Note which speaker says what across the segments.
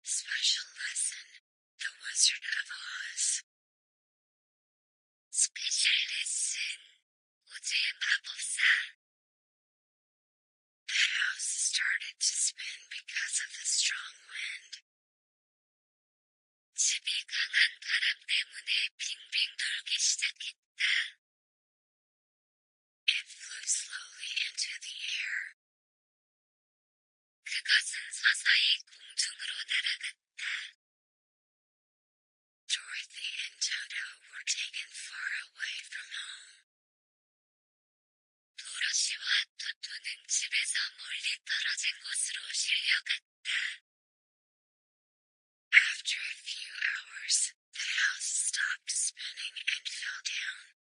Speaker 1: Special lesson The Wizard of Oz. Special lesson 오즈의 마법사. The house started to spin because of the strong wind. 집이 강한 바람 때문에 빙빙 돌기 시작했다. It flew slowly into the air. Dorothy and Toto were taken far away from home. 도로시와 토토는 집에서 멀리 떨어진 곳으로 실려갔다. After a few hours, the house stopped spinning and fell down.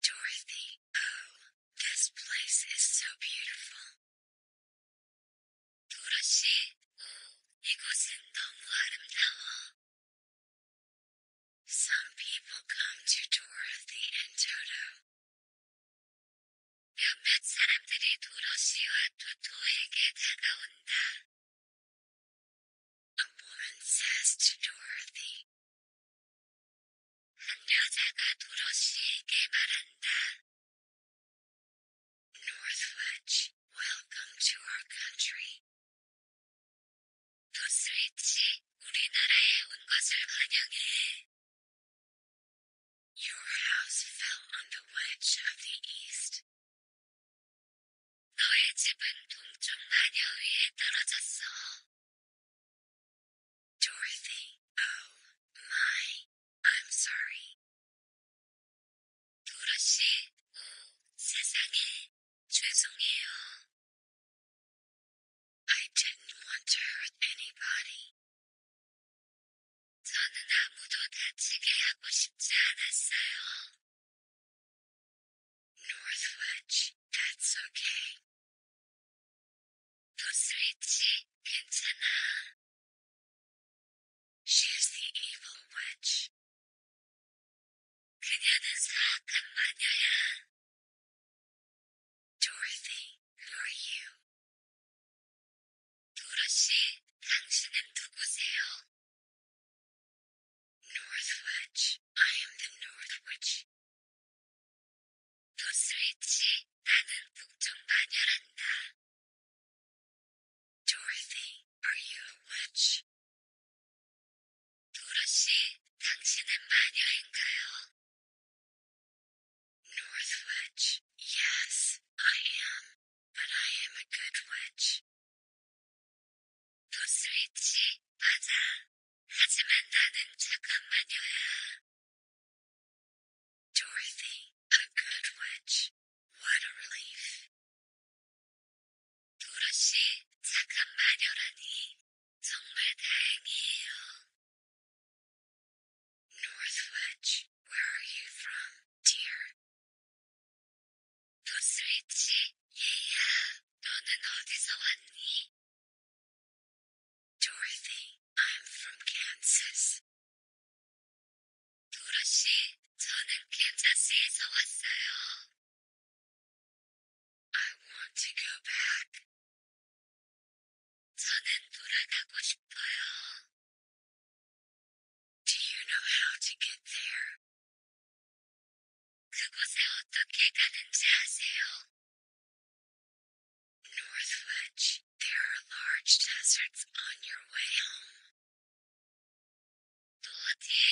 Speaker 1: Dorothy, oh, this place is so beautiful. 도라 씨, 오, 이곳은 너무 아름다워. Some people come to Dorothy and Toto. 몇몇 사람들이 도로시와 토토에게 다가온다. A woman says to Dorothy. 한 여자가 도로시에게 말한다. Northwich, welcome to our country. 도스위치, 우리나라에 온 것을 환영해. Your house fell on the wedge of the east. 너의 Dorothy, oh my, I'm sorry. 도로시, 오 세상에, 죄송해요. I didn't want to hurt anybody. 저는 아무도 다치게 하고 싶지 않았어요. Northwich, that's okay. 도스위치, 괜찮아. She She's the evil witch. Can 그녀는 사악한 마녀야. Dorothy, who are you? 도로시, 당신은 누구세요? Northwich, I am the Northwich. 도스위치, 나는 북쪽반열한다. Dorothy, are you a witch? 도로시, 당신은 마녀인가요? Northwich, yes, I am, but I am a good witch. 또 스위치, 맞아. 하지만 나는 잠깐만요야. Dorothy, a good witch. What a relief. 도로시, 잠깐만요라니. 정말 where are you from, dear? yeah. 도스위치, 얘야, 너는 어디서 왔니? Dorothy, I'm from Kansas. 도로시, 저는 캔자스에서 왔어요. I want to go back. 저는 돌아가고 싶어요. Do you know how to get there? 그곳에 어떻게 가는지 아세요? Northwich, there are large deserts on your way home. 또 어디에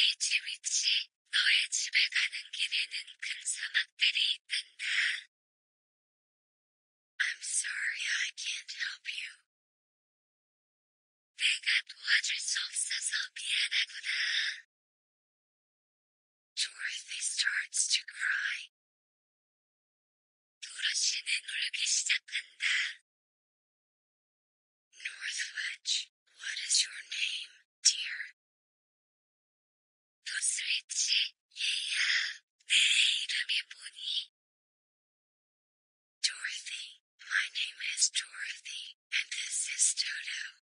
Speaker 1: 있지? 너의 집에 가는 길에는 큰 사막들이 있단다. I'm sorry I can't help you what 내가 도와줄 수 없어서 미안하구나. Dorothy starts to cry. 도로시는 울기 시작한다. Northwich, what is your name, dear? 도스리치, 얘야, 내 이름이 뭐니? Dorothy, my name is Dorothy, and this is Toto. and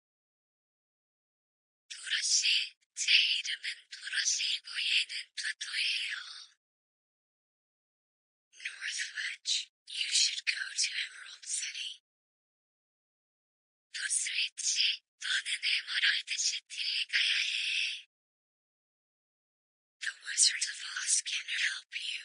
Speaker 1: 도로시, 제 이름은 도로시이고 얘는 토토예요. Northwich, you should go to Emerald City. 도스위치, 너는 에머랄드 시티에 가야 해. The Wizard of Oz can help you.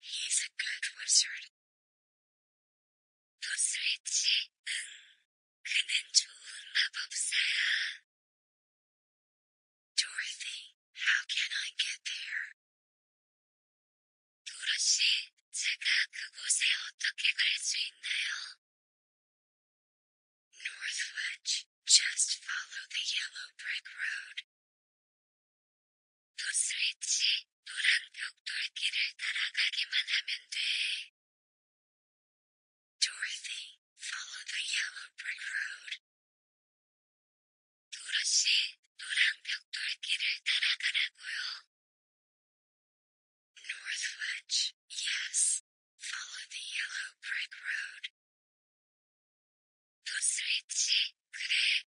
Speaker 1: He's a good wizard. 도스위치, 응. 그는 좋은 마법사야. Dorothy, how can I get there? take 도로시, 제가 그곳에 어떻게 갈수 North Northwich, just follow the yellow brick road. 도스위치 노란 벽돌길을 따라가기만 하면 돼. Dorothy, follow the yellow brick road. 도로시 노란 벽돌길을 따라가라고요. Northwich, yes. Follow the yellow brick road. 도스위치, 그래.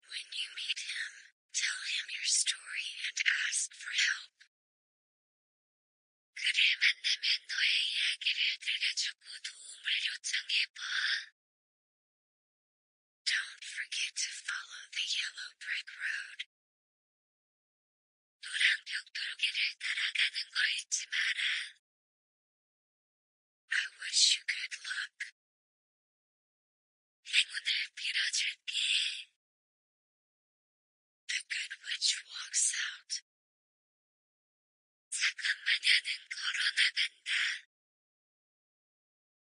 Speaker 1: When you meet him, tell him your story and ask for help. 요청해봐. Don't forget to follow the yellow brick road. I wish you good luck. The good witch walks out.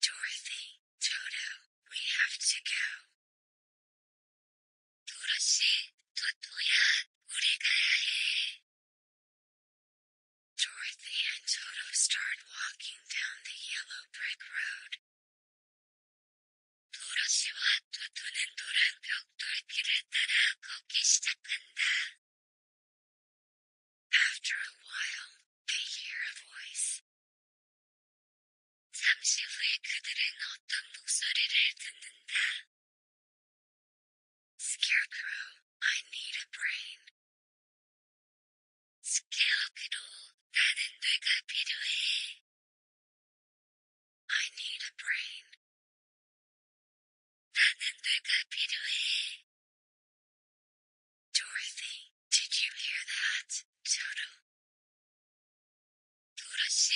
Speaker 1: Dorothy, Toto, we have to go. 도로시, 도토야, 우리 가야 해. Dorothy and Toto start walking down the yellow brick road. 도로시와 두두는 노란 벽돌길을 따라 걷기 시작한다. After a while, they hear a voice. Scarecrow, I need a brain. 스케어기로 나는 뇌가 필요해. I need a brain. 나는 뇌가 필요해. Dorothy, did you hear that? Toto. 도로시,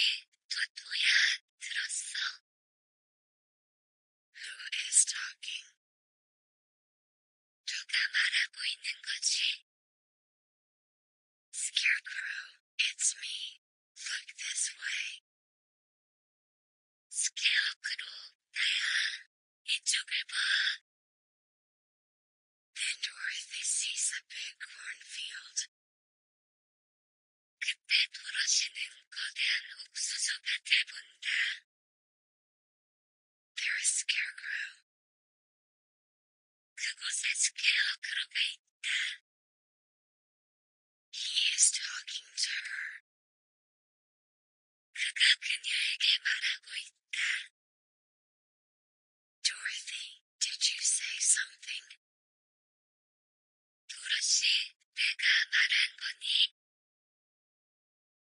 Speaker 1: 도토야, 들었어. Who is talking? 누가 말하고 있는 거지? Scarecrow, it's me. Look this way. Scarecrow, 나야. 이쪽을 봐. Then Dorothy sees a big cornfield. 그때 돌아지는 거대한 옥수수밭을 본다. There is scarecrow. 그곳에 스케어크로가 있다. is talking to her. 그가 그녀에게 말하고 있다. Dorothy, did you say something? 도로시, 내가 말한 거니?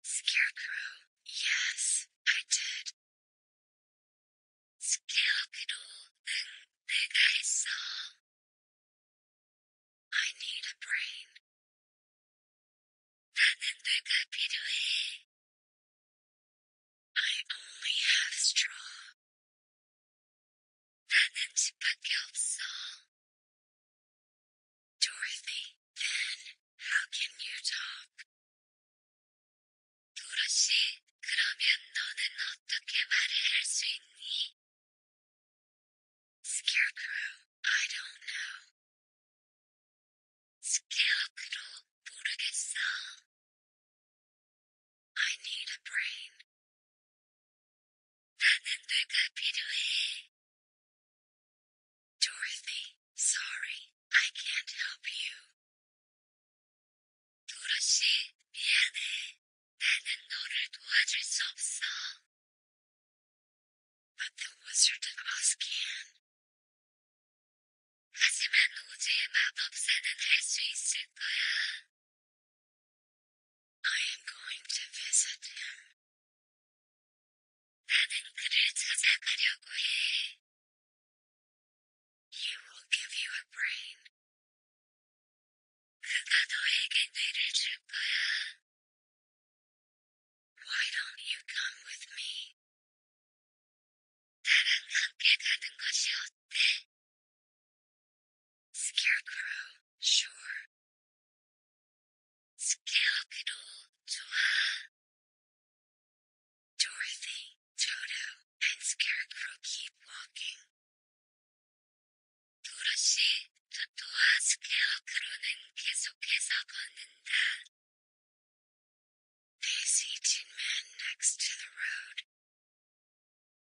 Speaker 1: Scarecrow, yes, I did. Scarecrow, then, big I I need a brain. I only have straw. 나는 집밖에 없어. Dorothy, then, how can you talk? 도로시, 그러면 너는 어떻게 말을 할수 있니? Scarecrow, I don't know. Scarecrow, 모르겠어. I need a brain. 나는 내가 필요해. Dorothy, sorry, I can't help you. 도로시, 미안해. 나는 너를 도와줄 수 없어. But the Wizard of Oz can. 하지만 오즈의 마법사는 할수 있을 거야. I am going to visit him. He will give you a brain. Why don't you come with me? Scarecrow, sure. Scarecrow, 좋아. Dorothy, Toto, and Scarecrow keep walking. 도로시, 토토와 스케어크로는 계속해서 걷는다. They see Tin Man next to the road.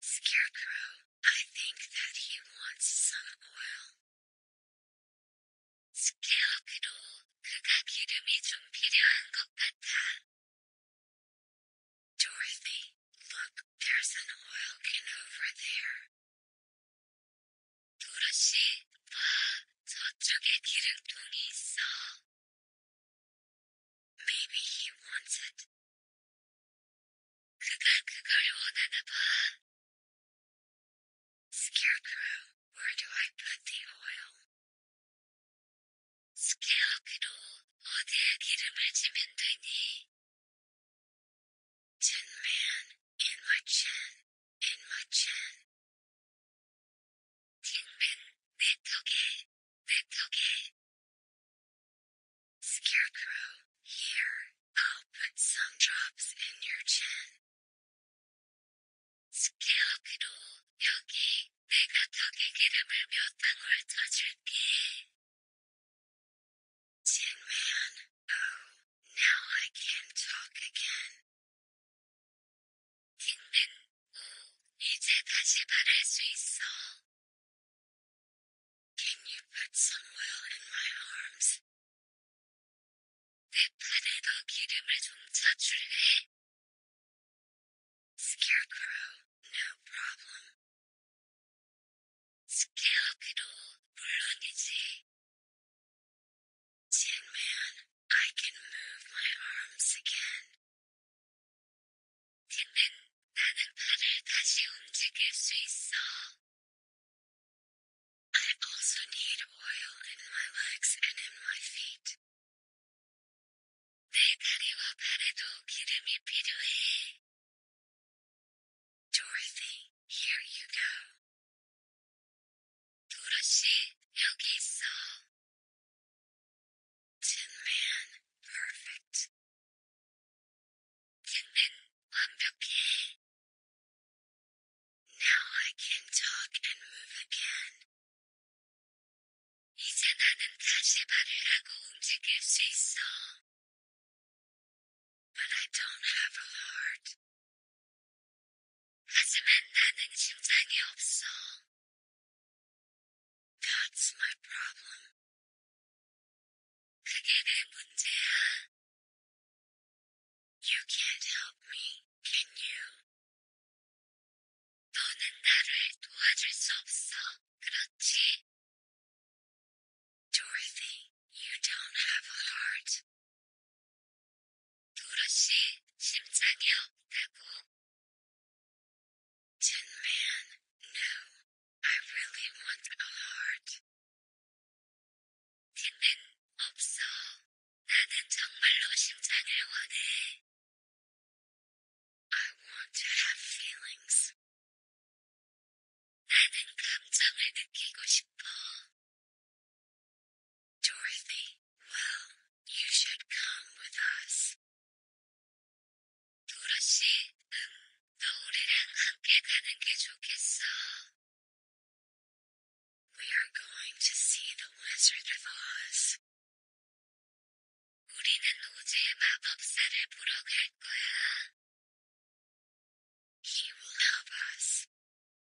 Speaker 1: Scarecrow, I think that he wants some oil. Scarecrow, 그가 기름이 좀 필요한 Dorothy, look, there's an oil can over there. 도로시, 봐, 저쪽에 기름통이 있어. Maybe he wants it. Scarecrow, where do I put the oil? Scarecrow, 어디에 기름을 지면 되니? Tin man, in my chin, in my chin. 내 턱에, 내 턱에. Scarecrow, here, I'll put some drops in your chin. Scarecrow, 여기, 내가 턱에 기름을 몇 방울 쳐줄게. Tin Man, oh, now I can talk again. 힘든 오, 이제 다시 바랄 수 있어. Can you put some oil in my arms? 내 팔에 더 기름을 좀 쳐줄래? Scarecrow, no problem. Scarecrow, 물론이지. Tin Man, I can move my arms again. 쟤는 나는 팔을 다시 움직일 수 있어. I also need oil in my legs and in my feet. Dorothy, here you go. 도로시, 여기 있어. Tin Man, perfect. Tinman, 완벽해. Now I can talk and move again. 이제 나는 다시 말을 하고 움직일 his 있어. But I don't have a heart. That's my problem. You can't help me, can you? 너는 나를 도와줄 수 없어, 그렇지? Dorothy, you don't have a heart. 도라씨, 심장이 없다고. Tin Man, no, I really want a heart. Tin Man, 없어. 나는 정말로 심장을 원해. I want to have feelings. 나는 감정을 느끼고 싶어. Dorothy, well, you should come with us. We are going to see the Wizard of Oz. 우리는 He will help us.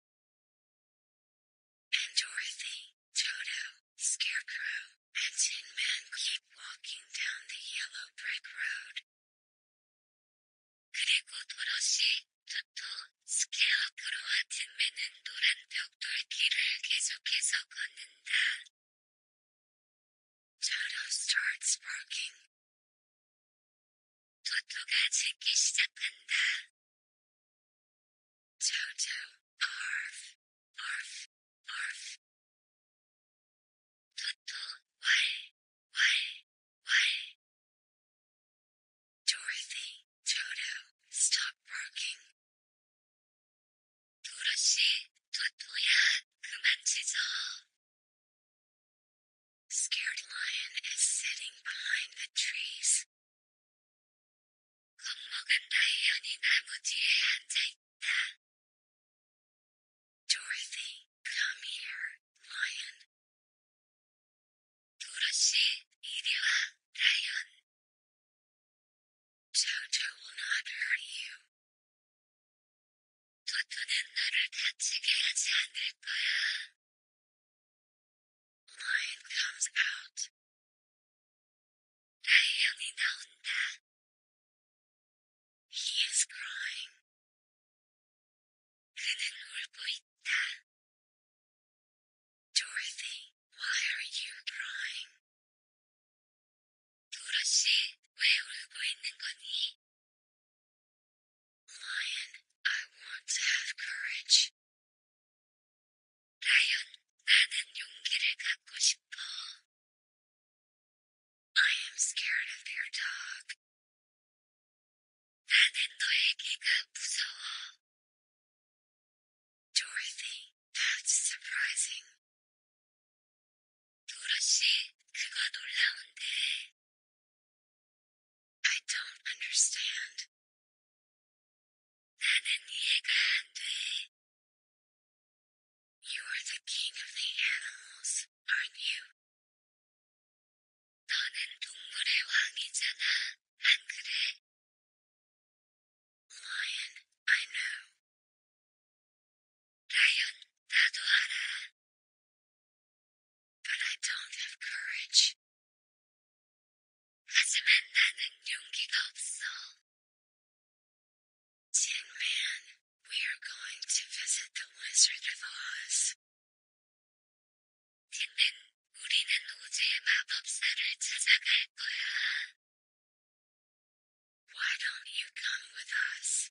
Speaker 1: and Dorothy, Toto, Scarecrow, and Tin Man keep walking down the yellow brick road. 그리고 도로시, 토토, 스케어크로와 틴맨은 노란 벽돌길을 계속해서 걷는다. Toto starts barking. 토토가 짖기 시작한다. Toto, arf, arf, arf. Toto, why, why, why? Dorothy, Toto, stop barking. 도라씨, 토토야, 그만 짖어. Scared lion is sitting behind the trees. Dorothy, come here, lion. 도로 시, 이리 와, lion. Toto will not hurt you. 토토는너를다치게하지않을거 야. Lion comes out. 달량이 that He is crying. 그는 울고 있다. Dorothy, why are you crying? Lion, I want to have courage. 라이언, 나는 용기를 갖고 싶어. I am scared of your dog. 나는 너의 개가 무서워. Dorothy, that's surprising. 도로시, 그거 놀라운데. I don't understand. in Uganda, You are the king of the animals, aren't you? 너는 동물의 왕이잖아, 안 그래? Lion, I know. 라이언, 나도 알아. But I don't have courage. 하지만 나는 용기가 없어. Tin Man, we are going to visit the Wizard of Oz. Why don't you come with us?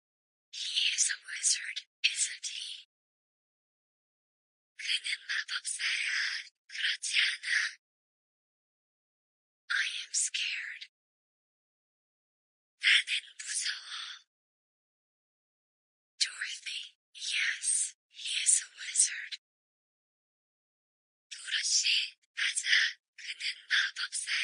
Speaker 1: He is a wizard, isn't he? I am scared. 나는 무서워. Dorothy, yes, he is a wizard. 도로시, 맞아, 그는 마법사야.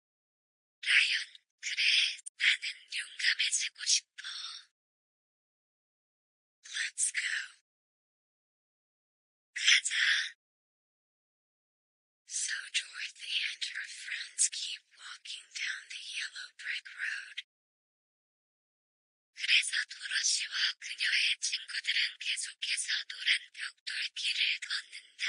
Speaker 1: 싶어. Let's go. 가자. So Dorothy and her friends keep walking down the yellow brick road. 그래서 도로시와 그녀의 친구들은 계속해서 노란 벽돌 길을 걷는다.